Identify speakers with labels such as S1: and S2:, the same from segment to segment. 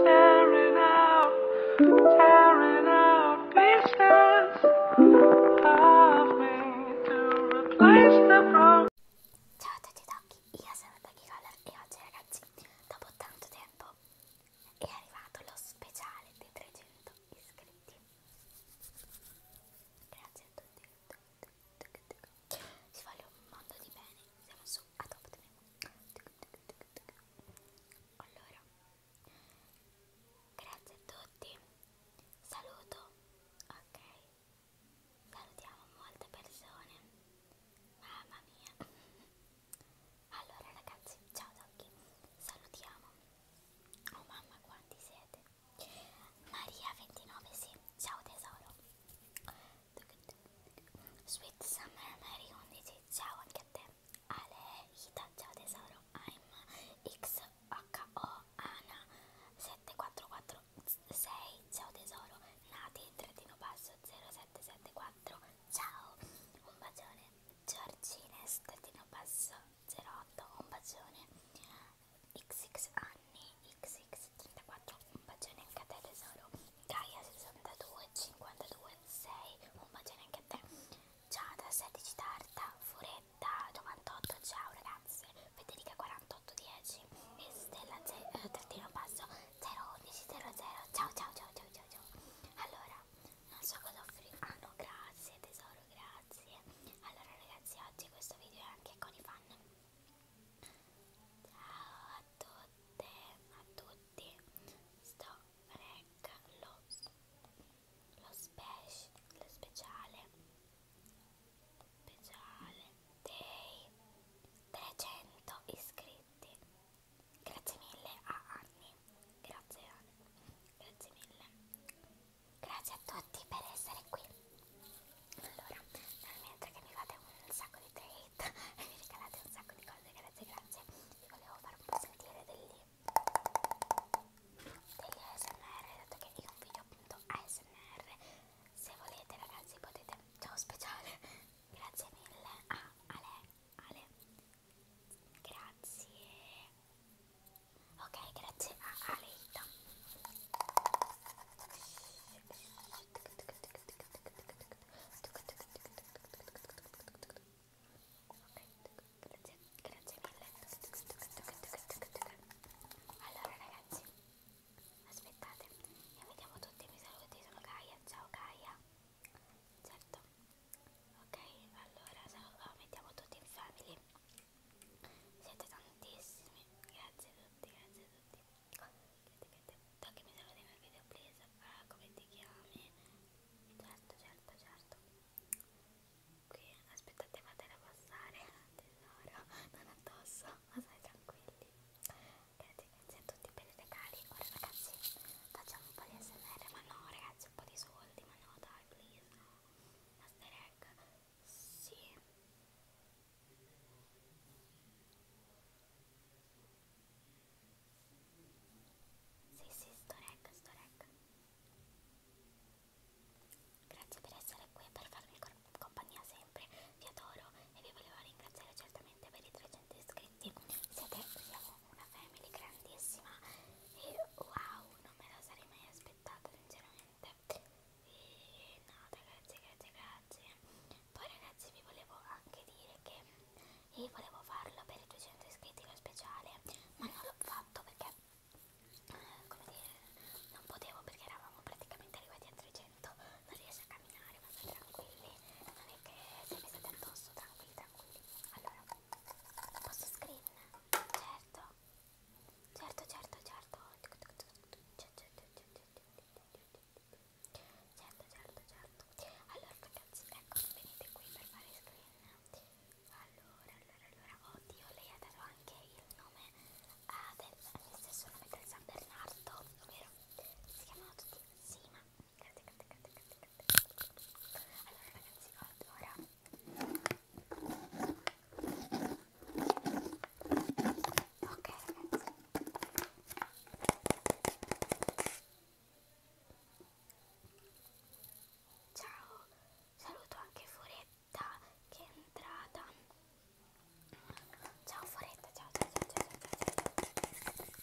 S1: Ciao a tutti Tocchi, io sono Tocchi Color e oggi ragazzi, dopo tanto tempo, è arrivato lo speciale dei 300 iscritti. Grazie a tutti si voglio un mondo di bene siamo su Adopt Me allora grazie a tutti saluto ok salutiamo molte persone mamma mia allora ragazzi ciao Tocchi salutiamo oh mamma quanti siete Maria29, sì, ciao tesoro. Sweet Summer Mary 11, ciao anche a te. Ale Ita, ciao tesoro. I'm XHO Ana 7446, ciao tesoro. Nati, trattino basso 0774, ciao. Un bacione. Giorgines, trattino basso 08, un bacione. XX anni, XX34, un bacione anche a te tesoro, Gaia62, 52, 6, un bacione anche a te, Giada, 16 Tarta, Furetta, 98, ciao ragazze, Federica, 48, 10, e Stella, eh, trattino basso, 011, 00, ciao ciao ciao ciao ciao ciao, allora, non so cosa offrire, ah no, grazie tesoro, grazie, allora ragazzi, oggi questo video è anche con i fan Ciao a tutte, a tutti, sto recca lo, lo, speci, lo speciale, speciale dei 300 iscritti. Grazie mille a Anni, grazie Anni, grazie mille. Grazie a tutti per essere qui. Allora, nel mentre che mi fate un sacco di treat e mi regalate un sacco di cose, grazie, grazie, vi volevo far un po' sentire degli, degli ASMR, dato che io un video appunto ASMR, se volete ragazzi potete, ciao speciale, grazie mille a ah, Ale, Ale, grazie Ok, grazie a Aleita. Ok, grazie, grazie mille. Allora ragazzi, aspettate e vediamo tutti i miei saluti. Sono Gaia, ciao Gaia. Certo. Ok, allora mettiamo tutti in family. Siete tantissimi, grazie a tutti, grazie a tutti. L'etichetta che mi serve dei miei video, please. Ah, come ti chiami? Certo, certo, certo. Qui, aspettate, fatela passare. Tesoro, non addosso, ma stai tranquilli. Grazie, grazie a tutti per i regali. Ora, ragazzi, facciamo un po' di SMR. Ma no, ragazzi, un po' di soldi. Ma no, dai, please. Master egg sì. Sì, sì, sto rec, sto rec. Grazie per essere qui e per farmi compagnia sempre. Vi adoro e vi volevo ringraziare certamente per i 300 iscritti. Siete, siamo una family grandissima e wow, non me la sarei mai aspettata sinceramente niente e nada grazie grazie grazie poi ragazzi vi volevo anche dire che io eh, volevo farlo per i 200 iscritti lo speciale ma non l'ho fatto perché eh, come dire non potevo perché eravamo praticamente arrivati a 300 non riesco a camminare ma state tranquilli non è che se mi state addosso tranquilli tranquilli allora posso screen certo Certo, certo, certo. Certo, certo, certo. Allora ragazzi, ecco, venite qui per fare screen. Allora, allora, allora. Oddio, lei ha dato anche il nome ah, del mio stesso nome del San Bernardo, ovvero si chiamano tutti Sima. Allora ragazzi, ora Ok ragazzi Ciao Saluto anche Foretta che è entrata Ciao Foretta ciao ciao ciao ciao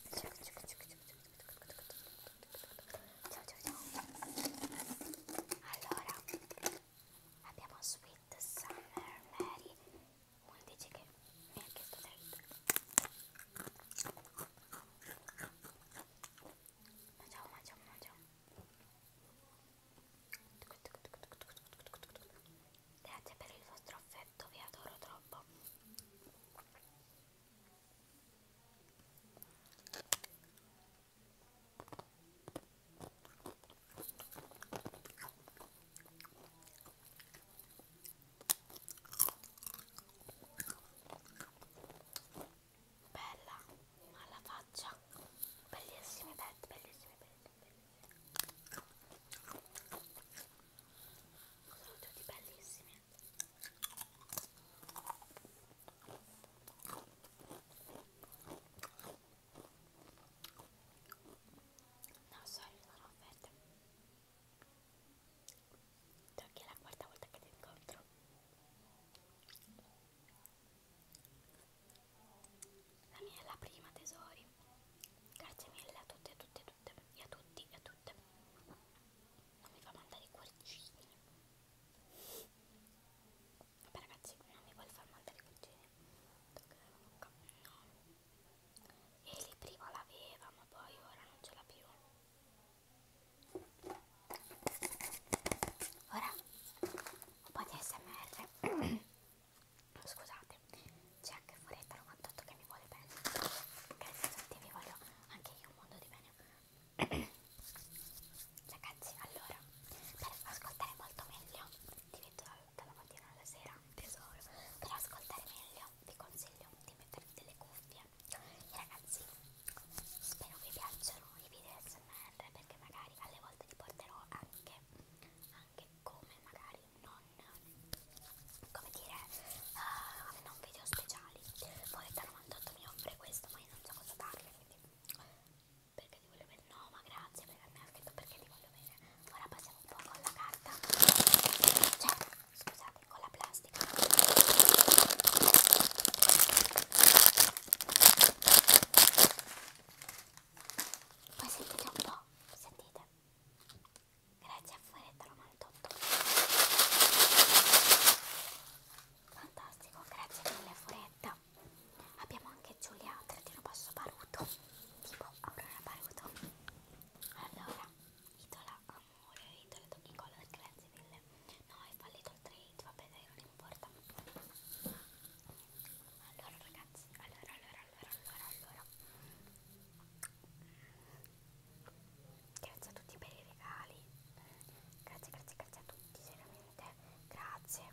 S1: ciao ciao ciao ciao ciao ciao Allora abbiamo Sweet Summer Mary uno dice che mi ha chiesto dritto mangiamo mangiamo mangiamo grazie per il vostro affetto vi adoro troppo Bella, ma la faccia, bellissimi petti, bellissimi petti, bellissimi. Sono tutti bellissimi. No, sorry, non ho offerte. Tocchi che è la quarta volta che ti incontro. La mia è la prima, tesori. Grazie mille a tutte, a tutte, a tutte, e a tutti, e a tutte. Non mi fa mandare i cuoricini. Vabbè ragazzi, non mi vuole far mandare i cugini. No. E lì prima l'aveva, ma poi ora non ce l'ha più. Ora un po' di smr. Scusate, c'è anche Foretta 98 che mi vuole bene. Grazie a tutti, vi voglio anche io un mondo di bene. Ragazzi, allora, per ascoltare molto meglio, ti metto dalla mattina alla sera, tesoro, per ascoltare meglio vi consiglio di mettere delle cuffie. E ragazzi, spero vi piacciono i video SMR perché magari alle volte li porterò anche, anche come magari non, come dire, uh, non video speciali. Poi da 98 mi offre questo, ma io non so cosa darle perché ti voglio bene no ma grazie perché mi ha scritto perché ti voglio bene ora passiamo un po' con la carta cioè scusate con la plastica poi sentite un po' sentite grazie a Fueretta 98 fantastico grazie mille Foretta abbiamo anche Giulia trattino basso Baruto tipo Aurora Baruto allora idola amore idola Tony Color grazie mille no è fallito il trade vabbè dai non importa allora ragazzi allora allora allora allora allora grazie a tutti per i regali grazie grazie grazie a tutti veramente grazie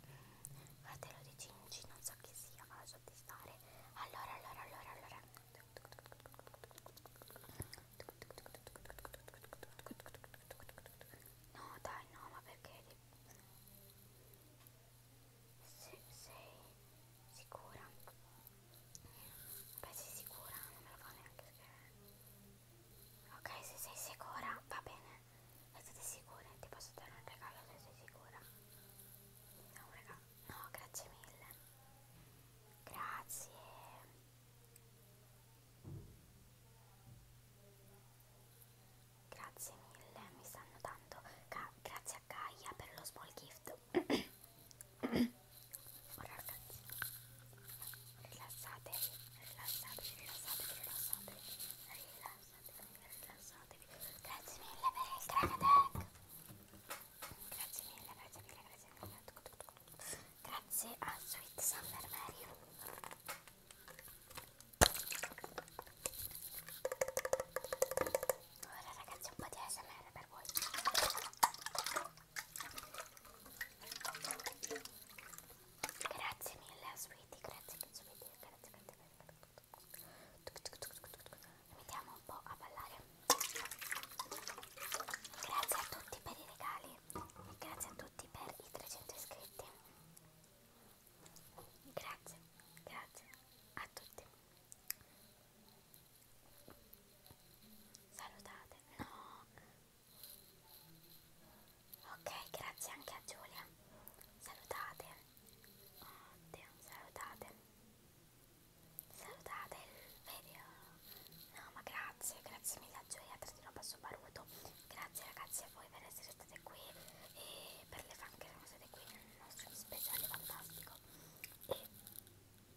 S1: fratello di Cinci non so chi sia ma lasciate stare allora allora allora allora no dai no ma perché se, sei sicura beh sei sicura non me lo fa neanche scrivere Ok, se sei sicura, va bene. Se siete sicure, ti posso dare un regalo se sei sicura. No, ah, un regalo. No, grazie mille. Grazie. Grazie mille, mi stanno dando. Grazie a Gaia per lo small gift. Relaxați. Relaxate, relaxate, relaxate, relaxate, relaxate, relaxate. Grazie mille per il crack Grazie mille, grazie mille, grazie mille. Grazie a Sweet Summer Mario. Ora ragazzi un po' di ASMR per voi. Grazie mille a Sweetie, grazie che ci vedi, grazie, grazie, grazie. Mettiamo un po' a ballare. Grazie a tutti per i regali e grazie a tutti per i 300 iscritti. Grazie, grazie a tutti. Salutate, no, Ok, grazie anche a Giulia. Salutate. Oddio, salutate. Salutate il video. No, ma grazie, grazie mille a Giulia, trattino basso baruto. Grazie ragazzi a voi per essere state qui e per le fan che sono state qui nel nostro speciale fantastico. E